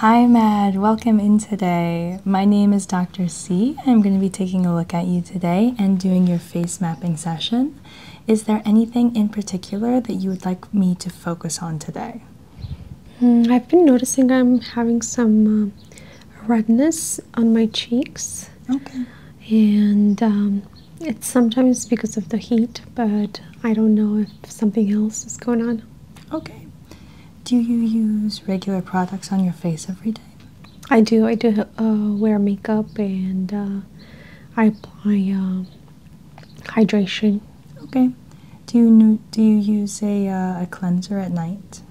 Hi, Mad. Welcome in today. My name is Dr. C. I'm going to be taking a look at you today and doing your face mapping session. Is there anything in particular that you would like me to focus on today? Hmm, I've been noticing I'm having some uh, redness on my cheeks. And um, it's sometimes because of the heat, but I don't know if something else is going on. Okay. Do you use regular products on your face every day? I do. I do uh, wear makeup and uh, I apply uh, hydration. Okay. Do you do you use a a cleanser at night?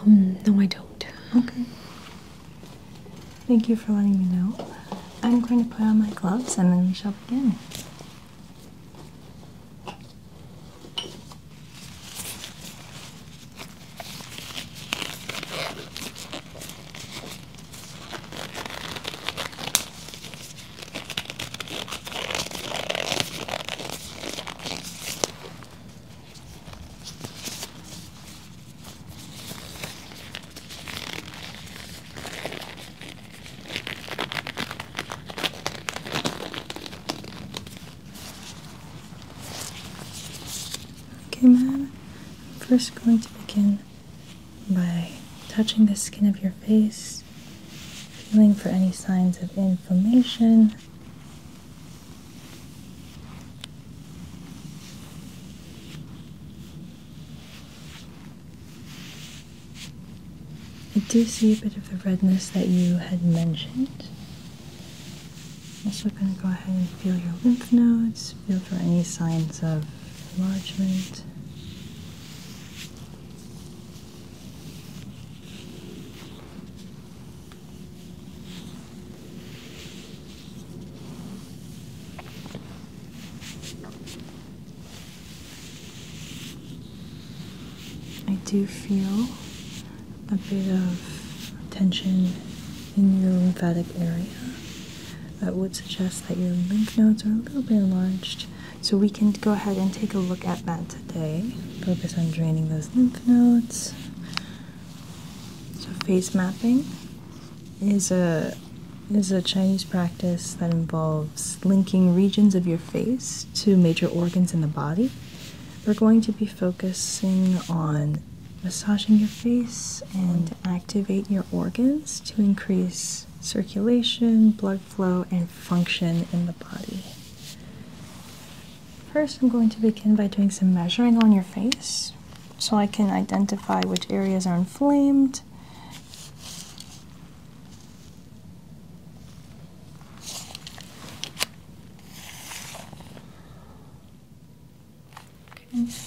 Um, no, I don't. Okay. Thank you for letting me know. I'm going to put on my gloves and then we shall begin. Okay, madam first going to begin by touching the skin of your face, feeling for any signs of inflammation. I do see a bit of the redness that you had mentioned. Also going to go ahead and feel your lymph nodes, feel for any signs of enlargement. I do feel a bit of tension in your lymphatic area. That would suggest that your lymph nodes are a little bit enlarged. So we can go ahead and take a look at that today. Focus on draining those lymph nodes. So face mapping is a is a Chinese practice that involves linking regions of your face to major organs in the body. We're going to be focusing on massaging your face and activate your organs to increase circulation, blood flow, and function in the body. First, I'm going to begin by doing some measuring on your face so I can identify which areas are inflamed. Okay.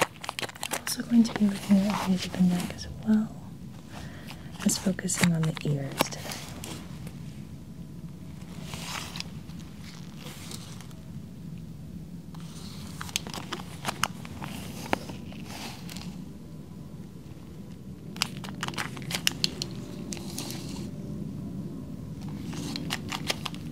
I'm also going to be looking at the the neck as well Just focusing on the ears today.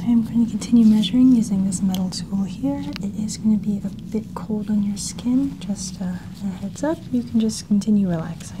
I am going to continue measuring using this metal tool here. It is going to be a bit cold on your skin, just uh, a heads up. You can just continue relaxing.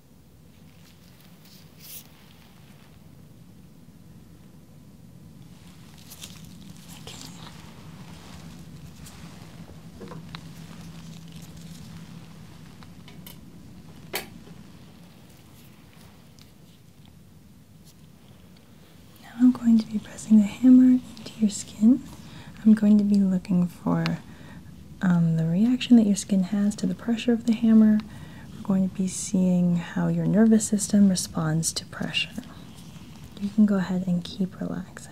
Now I'm going to be pressing the hammer into your skin. I'm going to be looking for um, the reaction that your skin has to the pressure of the hammer. We're going to be seeing how your nervous system responds to pressure. You can go ahead and keep relaxing.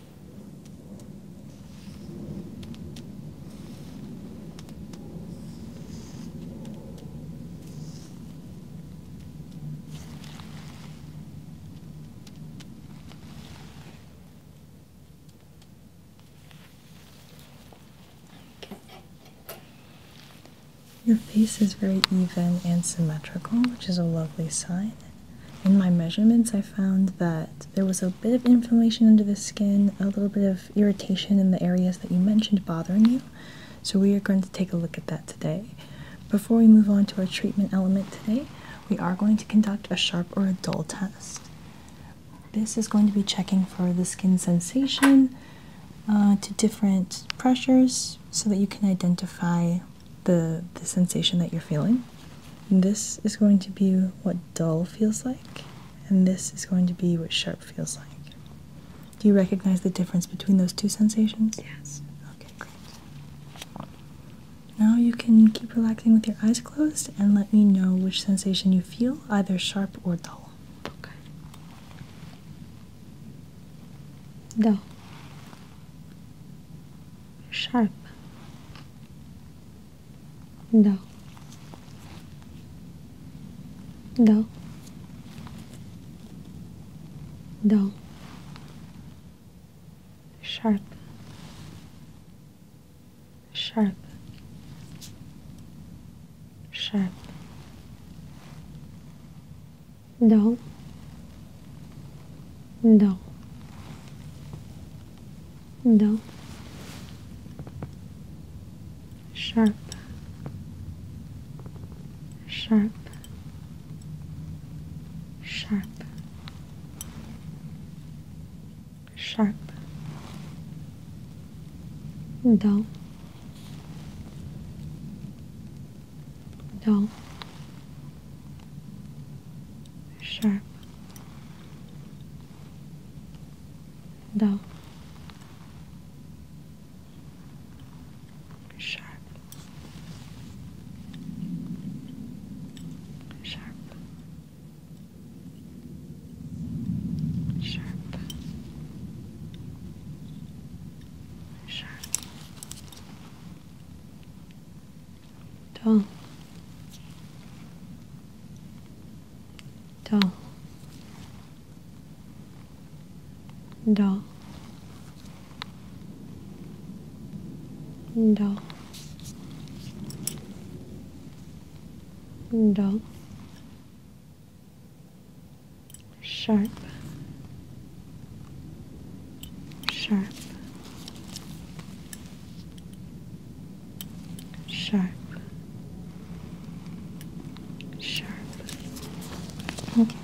Your face is very even and symmetrical, which is a lovely sign in my measurements, I found that there was a bit of inflammation under the skin, a little bit of irritation in the areas that you mentioned bothering you. So, we are going to take a look at that today. Before we move on to our treatment element today, we are going to conduct a sharp or a dull test. This is going to be checking for the skin sensation uh, to different pressures so that you can identify the, the sensation that you're feeling. this is going to be what dull feels like, and this is going to be what sharp feels like. Do you recognize the difference between those two sensations? Yes. Okay, great. Now you can keep relaxing with your eyes closed and let me know which sensation you feel, either sharp or dull. Okay. Dull. Sharp. No. No. No. Sharp. Sharp. Sharp. No. No dull, sharp, sharp, sharp, sharp, dull, dull sharp dull sharp sharp sharp sharp dull, dull, dull, dull, dull, sharp, sharp sharp, sharp. Okay.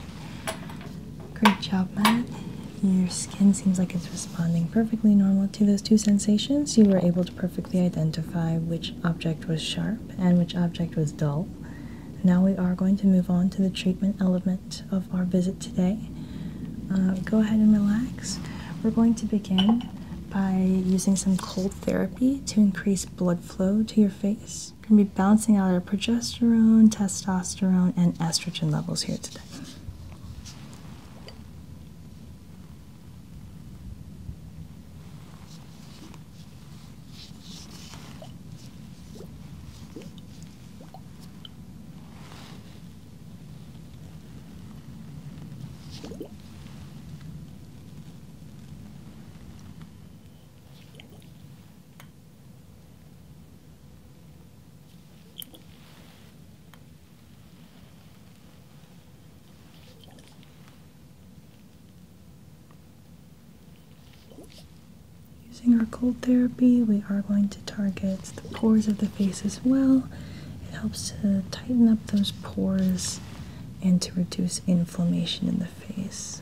Great job, Matt. Your skin seems like it's responding perfectly normal to those two sensations. You were able to perfectly identify which object was sharp and which object was dull. Now we are going to move on to the treatment element of our visit today. Uh, go ahead and relax. We're going to begin by using some cold therapy to increase blood flow to your face. We're going to be balancing out our progesterone, testosterone, and estrogen levels here today. Using our cold therapy, we are going to target it's the pores of the face as well. It helps to tighten up those pores and to reduce inflammation in the face.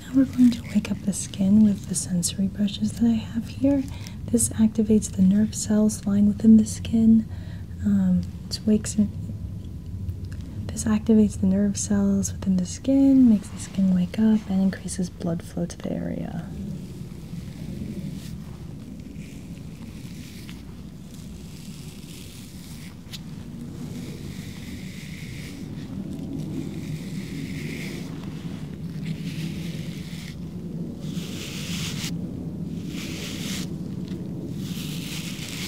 Now we're going to wake up the skin with the sensory brushes that I have here. This activates the nerve cells lying within the skin. Um, it wakes this activates the nerve cells within the skin, makes the skin wake up, and increases blood flow to the area.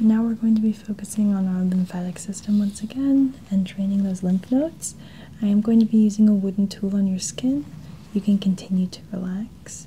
Now we're going to be focusing on our lymphatic system once again and draining those lymph nodes. I am going to be using a wooden tool on your skin. You can continue to relax.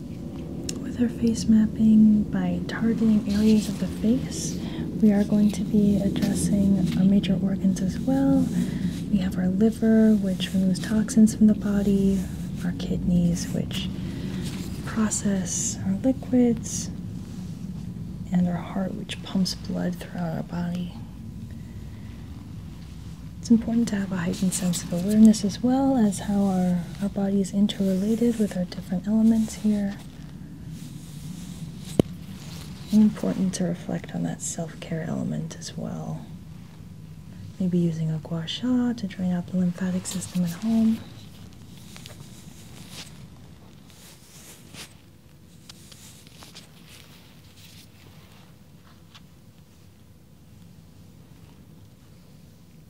With our face mapping by targeting areas of the face, we are going to be addressing our major organs as well. We have our liver, which removes toxins from the body, our kidneys, which process our liquids, and our heart, which pumps blood throughout our body. It's important to have a heightened sense of awareness as well as how our our body is interrelated with our different elements here. Important to reflect on that self care element as well. Maybe using a gua sha to drain out the lymphatic system at home.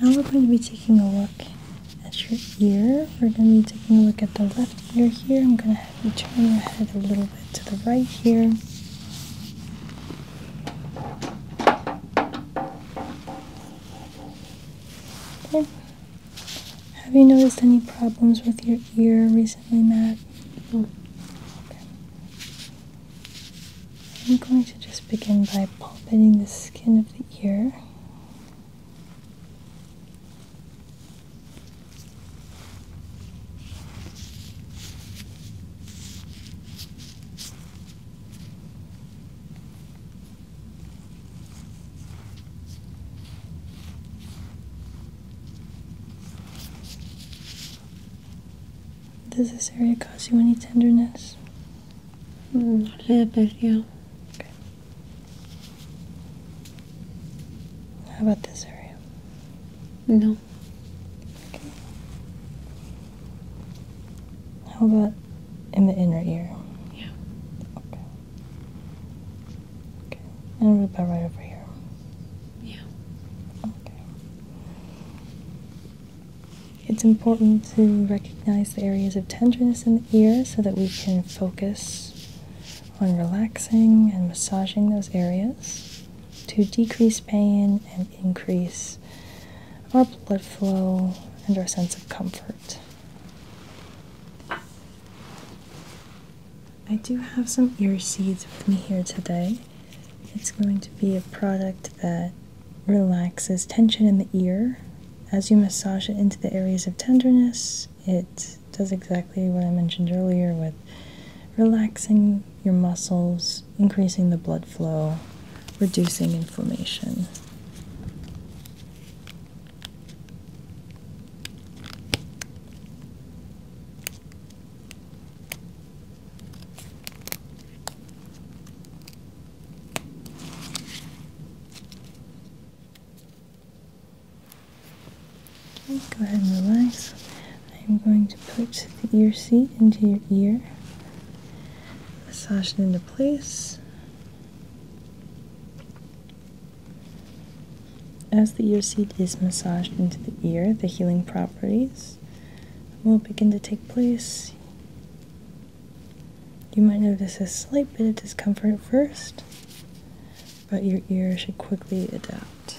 Now we're going to be taking a look at your ear. We're going to be taking a look at the left ear here. I'm going to have you turn your head a little bit to the right here. Okay. Have you noticed any problems with your ear recently, Matt? I'm going to just begin by palpating the skin of the ear. Does this area cause you any tenderness? Mm, a little bit, yeah. Okay. How about this area? No. Okay. How about in the inner ear? Yeah. Okay. Okay. And about right over here. Yeah. Okay. It's important to recognize the areas of tenderness in the ear so that we can focus on relaxing and massaging those areas to decrease pain and increase our blood flow and our sense of comfort. I do have some ear seeds with me here today. It's going to be a product that relaxes tension in the ear. As you massage it into the areas of tenderness, it does exactly what I mentioned earlier with relaxing your muscles, increasing the blood flow, reducing inflammation go ahead and relax. I'm going to put the ear seed into your ear, massage it into place. As the ear seed is massaged into the ear, the healing properties will begin to take place. You might notice a slight bit of discomfort at first, but your ear should quickly adapt.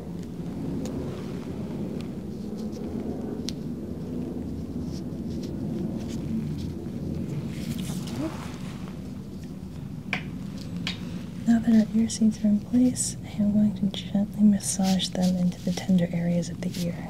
Now that our ear seeds are in place, I am going to gently massage them into the tender areas of the ear.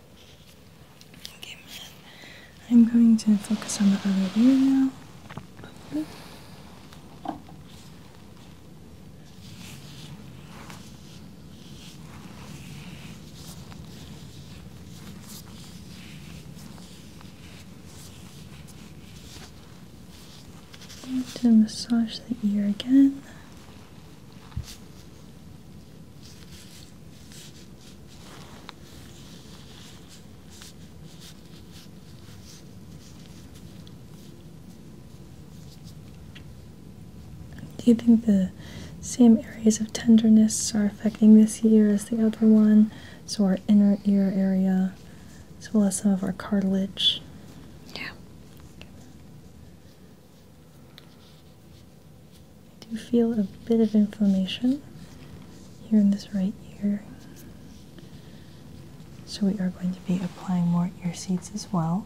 Okay, man. I'm going to focus on the other ear now. I'm going to massage the ear again. Do you think the same areas of tenderness are affecting this ear as the other one? So, our inner ear area, as well as some of our cartilage. Yeah. I do feel a bit of inflammation here in this right ear. So we are going to be applying more ear seeds as well.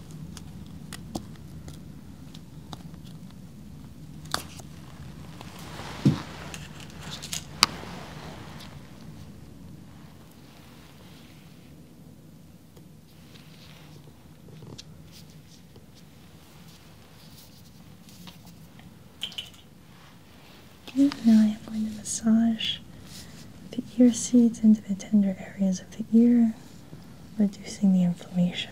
now I am going to massage the ear seeds into the tender areas of the ear reducing the inflammation.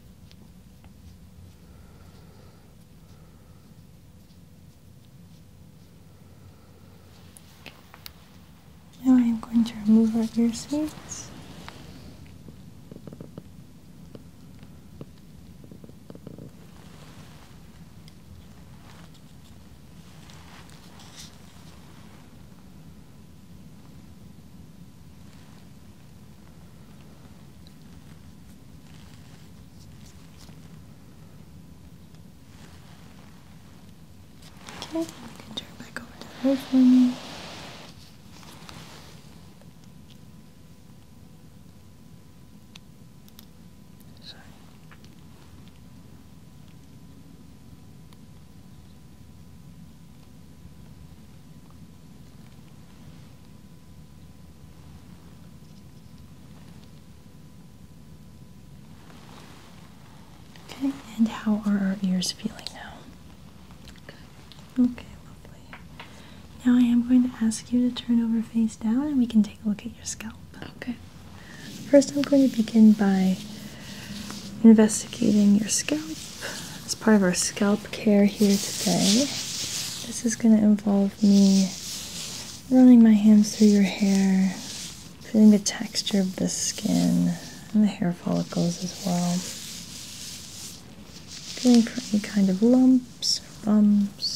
Now I am going to remove our ear seeds. Okay, you can turn back over to her for me. Sorry. Okay, and how are our ears feeling now? Okay, lovely. Now I am going to ask you to turn over face down and we can take a look at your scalp. Okay. First, I'm going to begin by investigating your scalp as part of our scalp care here today. This is going to involve me running my hands through your hair, feeling the texture of the skin and the hair follicles as well. Feeling for any kind of lumps, bumps.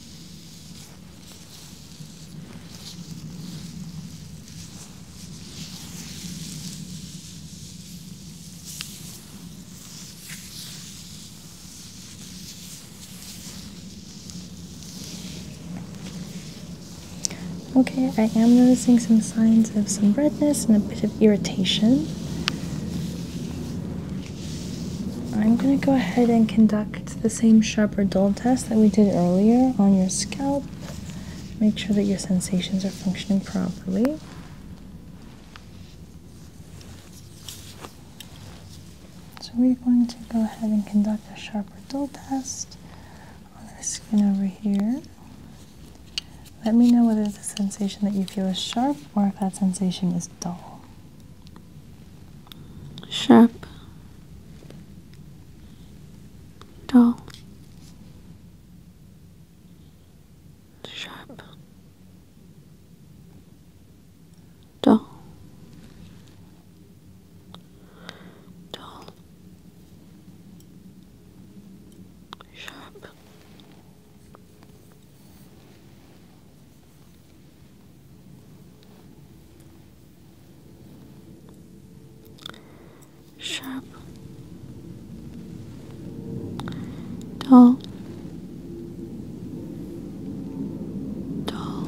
Okay, I am noticing some signs of some redness and a bit of irritation. I'm going to go ahead and conduct the same sharp or dull test that we did earlier on your scalp. Make sure that your sensations are functioning properly. So, we're going to go ahead and conduct a sharp or dull test on the skin over here. Let me know whether the sensation that you feel is sharp or if that sensation is dull sharp, dull, sharp, dull, dull, sharp, sharp, tall, tall,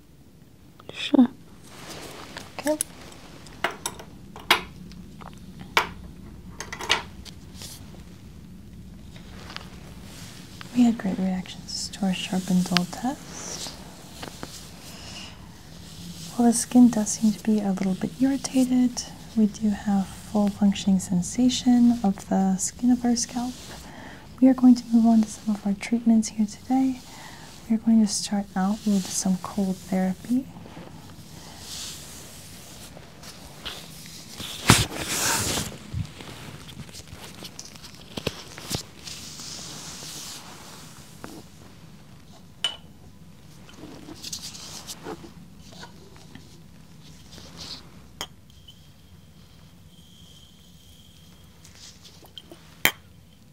Sure. Okay. We had great reactions to our sharpened dull test. While the skin does seem to be a little bit irritated, we do have full functioning sensation of the skin of our scalp. We are going to move on to some of our treatments here today. We're going to start out with some cold therapy.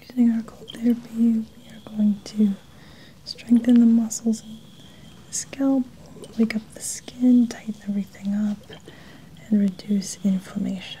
Using our cold therapy, we are going to strengthen the muscles and the scalp, wake up the skin, tighten everything up, and reduce inflammation.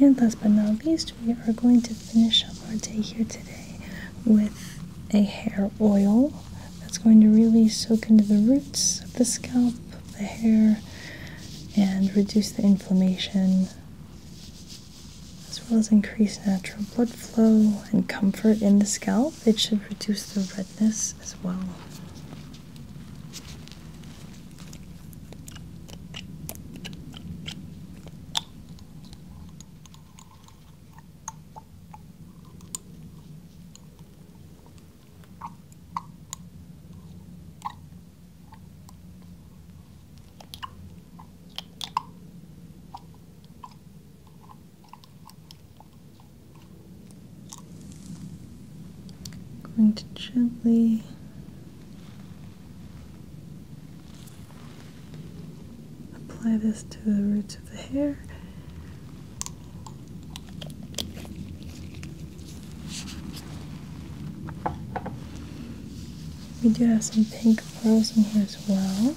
And last but not least, we are going to finish up our day here today with a hair oil that's going to really soak into the roots of the scalp, the hair, and reduce the inflammation, as well as increase natural blood flow and comfort in the scalp. It should reduce the redness as well. I'm going to gently Apply this to the roots of the hair. We do have some pink pearls in here as well.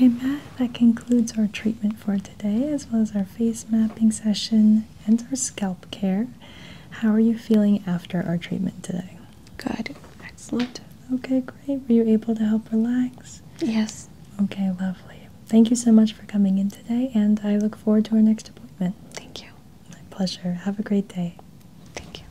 Okay, Matt, that concludes our treatment for today, as well as our face mapping session and our scalp care. How are you feeling after our treatment today? Good. Excellent. Okay, great. Were you able to help relax? Yes. Okay, lovely. Thank you so much for coming in today, and I look forward to our next appointment. Thank you. My pleasure. Have a great day. Thank you.